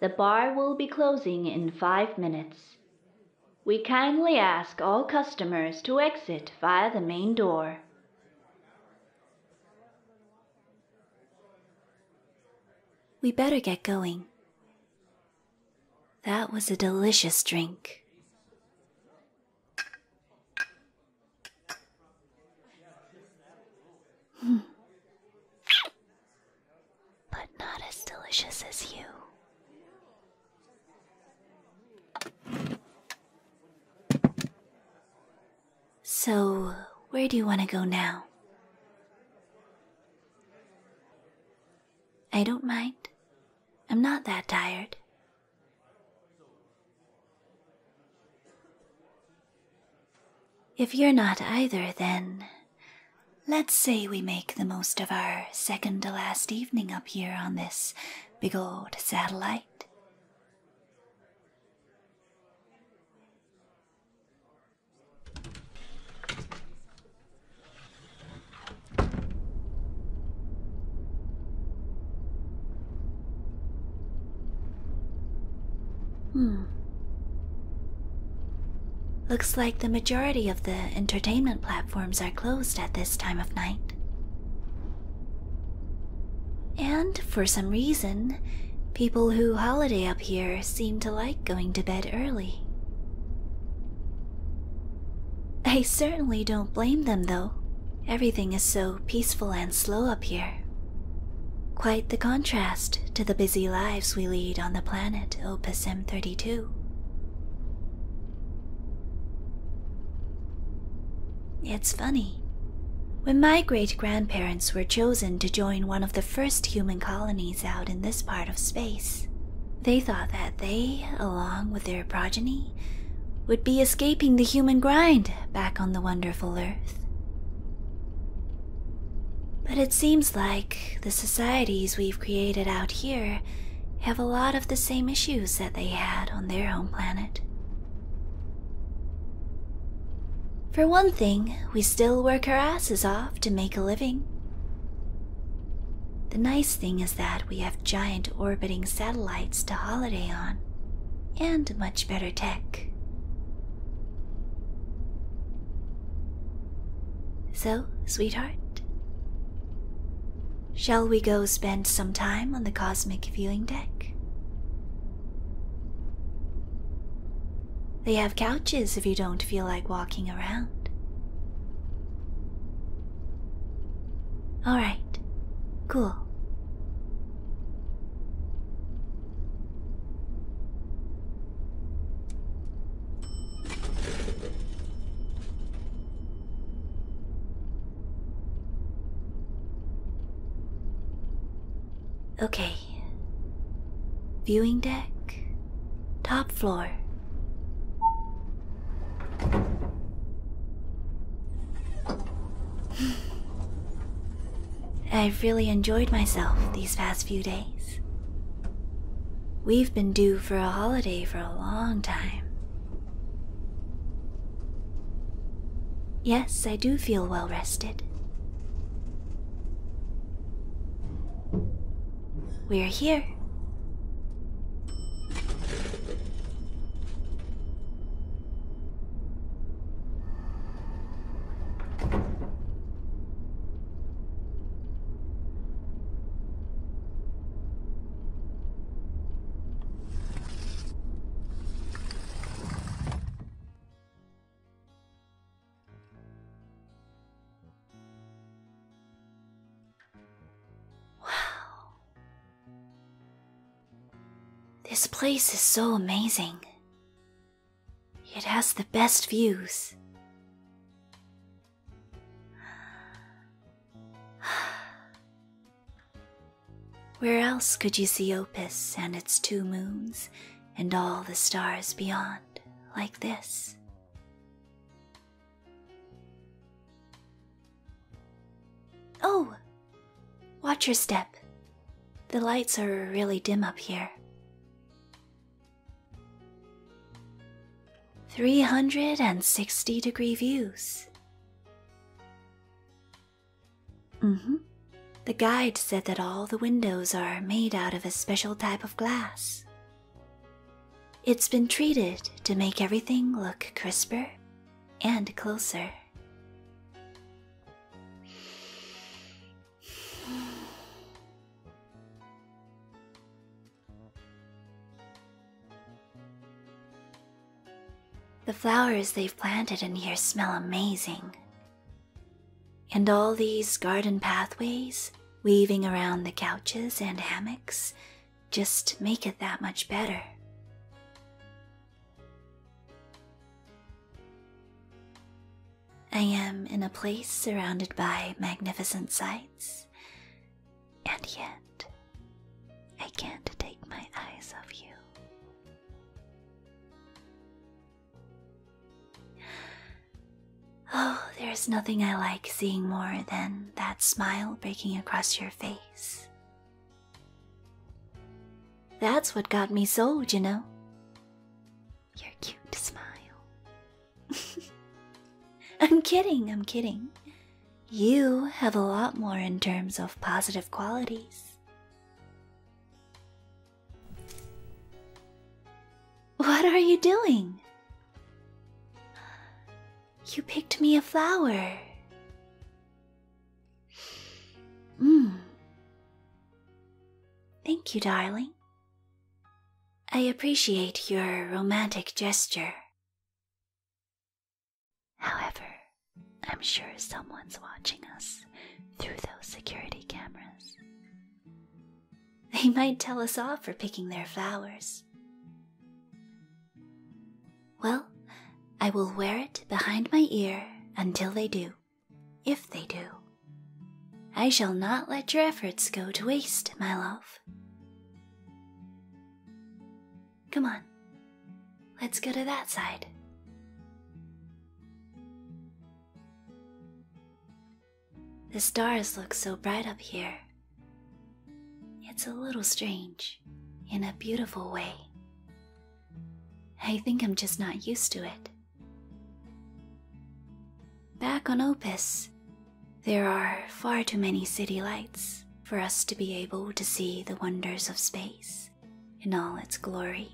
The bar will be closing in five minutes. We kindly ask all customers to exit via the main door. We better get going. That was a delicious drink. Hmm. But not as delicious as you. So, where do you want to go now? I don't mind. I'm not that tired. If you're not either, then let's say we make the most of our second to last evening up here on this big old satellite. Hmm. Looks like the majority of the entertainment platforms are closed at this time of night. And for some reason, people who holiday up here seem to like going to bed early. I certainly don't blame them, though. Everything is so peaceful and slow up here. Quite the contrast to the busy lives we lead on the planet Opus M32. It's funny. When my great grandparents were chosen to join one of the first human colonies out in this part of space, they thought that they, along with their progeny, would be escaping the human grind back on the wonderful earth. But it seems like the societies we've created out here have a lot of the same issues that they had on their home planet. For one thing, we still work our asses off to make a living. The nice thing is that we have giant orbiting satellites to holiday on, and much better tech. So, sweetheart, shall we go spend some time on the cosmic viewing deck? They have couches if you don't feel like walking around. All right, cool. Okay. Viewing deck. Top floor. I've really enjoyed myself these past few days. We've been due for a holiday for a long time. Yes, I do feel well rested. We're here. Wow. This place is so amazing. It has the best views. Where else could you see Opus and its two moons and all the stars beyond? like this. Oh! Watch your step. The lights are really dim up here. 360 degree views. Mm hmm. The guide said that all the windows are made out of a special type of glass. It's been treated to make everything look crisper and closer. The flowers they've planted in here smell amazing. And all these garden pathways weaving around the couches and hammocks just make it that much better. I am in a place surrounded by magnificent sights, and yet I can't take my eyes off you. Oh, there's nothing I like seeing more than that smile breaking across your face. That's what got me sold, you know. Your cute smile. I'm kidding, I'm kidding. You have a lot more in terms of positive qualities. What are you doing? You picked me a flower. Mm. Thank you, darling. I appreciate your romantic gesture. However, I'm sure someone's watching us through those security cameras. They might tell us off for picking their flowers. Well, I will wear it behind my ear until they do, if they do. I shall not let your efforts go to waste, my love. Come on, Let's go to that side. The stars look so bright up here. It's a little strange in a beautiful way. I think I'm just not used to it. Back on Opus, there are far too many city lights for us to be able to see the wonders of space in all its glory,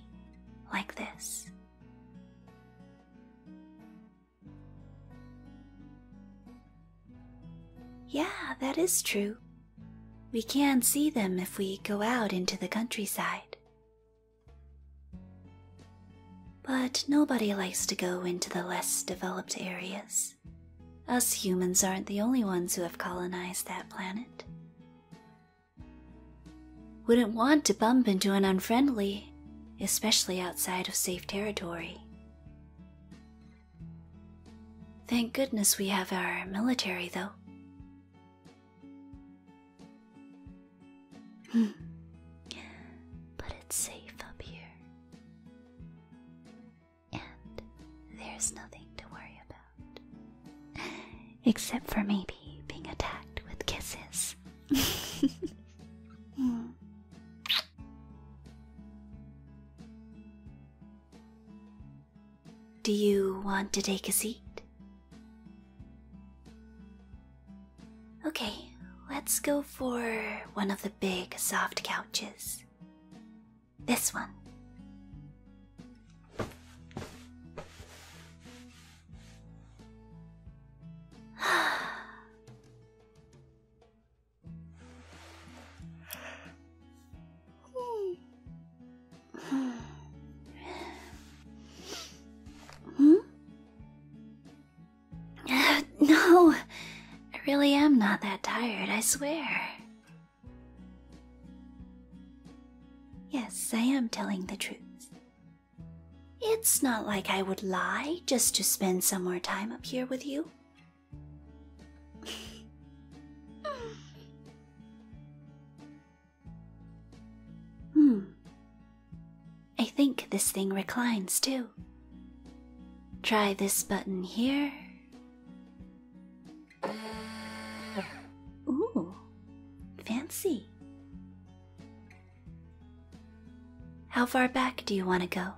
like this. Yeah, that is true. We can see them if we go out into the countryside. But nobody likes to go into the less developed areas, us humans aren't the only ones who have colonized that planet. Wouldn't want to bump into an unfriendly, especially outside of safe territory. Thank goodness we have our military, though. Hmm. but it's safe up here and there's nothing to worry about. Except for maybe being attacked with kisses. Hmm. Do you want to take a seat? Okay, let's go for one of the big soft couches. This one. hmm? No, I really am not that tired, I swear. Yes, I am telling the truth. It's not like I would lie just to spend some more time up here with you. hmm. I think this thing reclines too. Try this button here. Ooh, fancy. How far back do you want to go?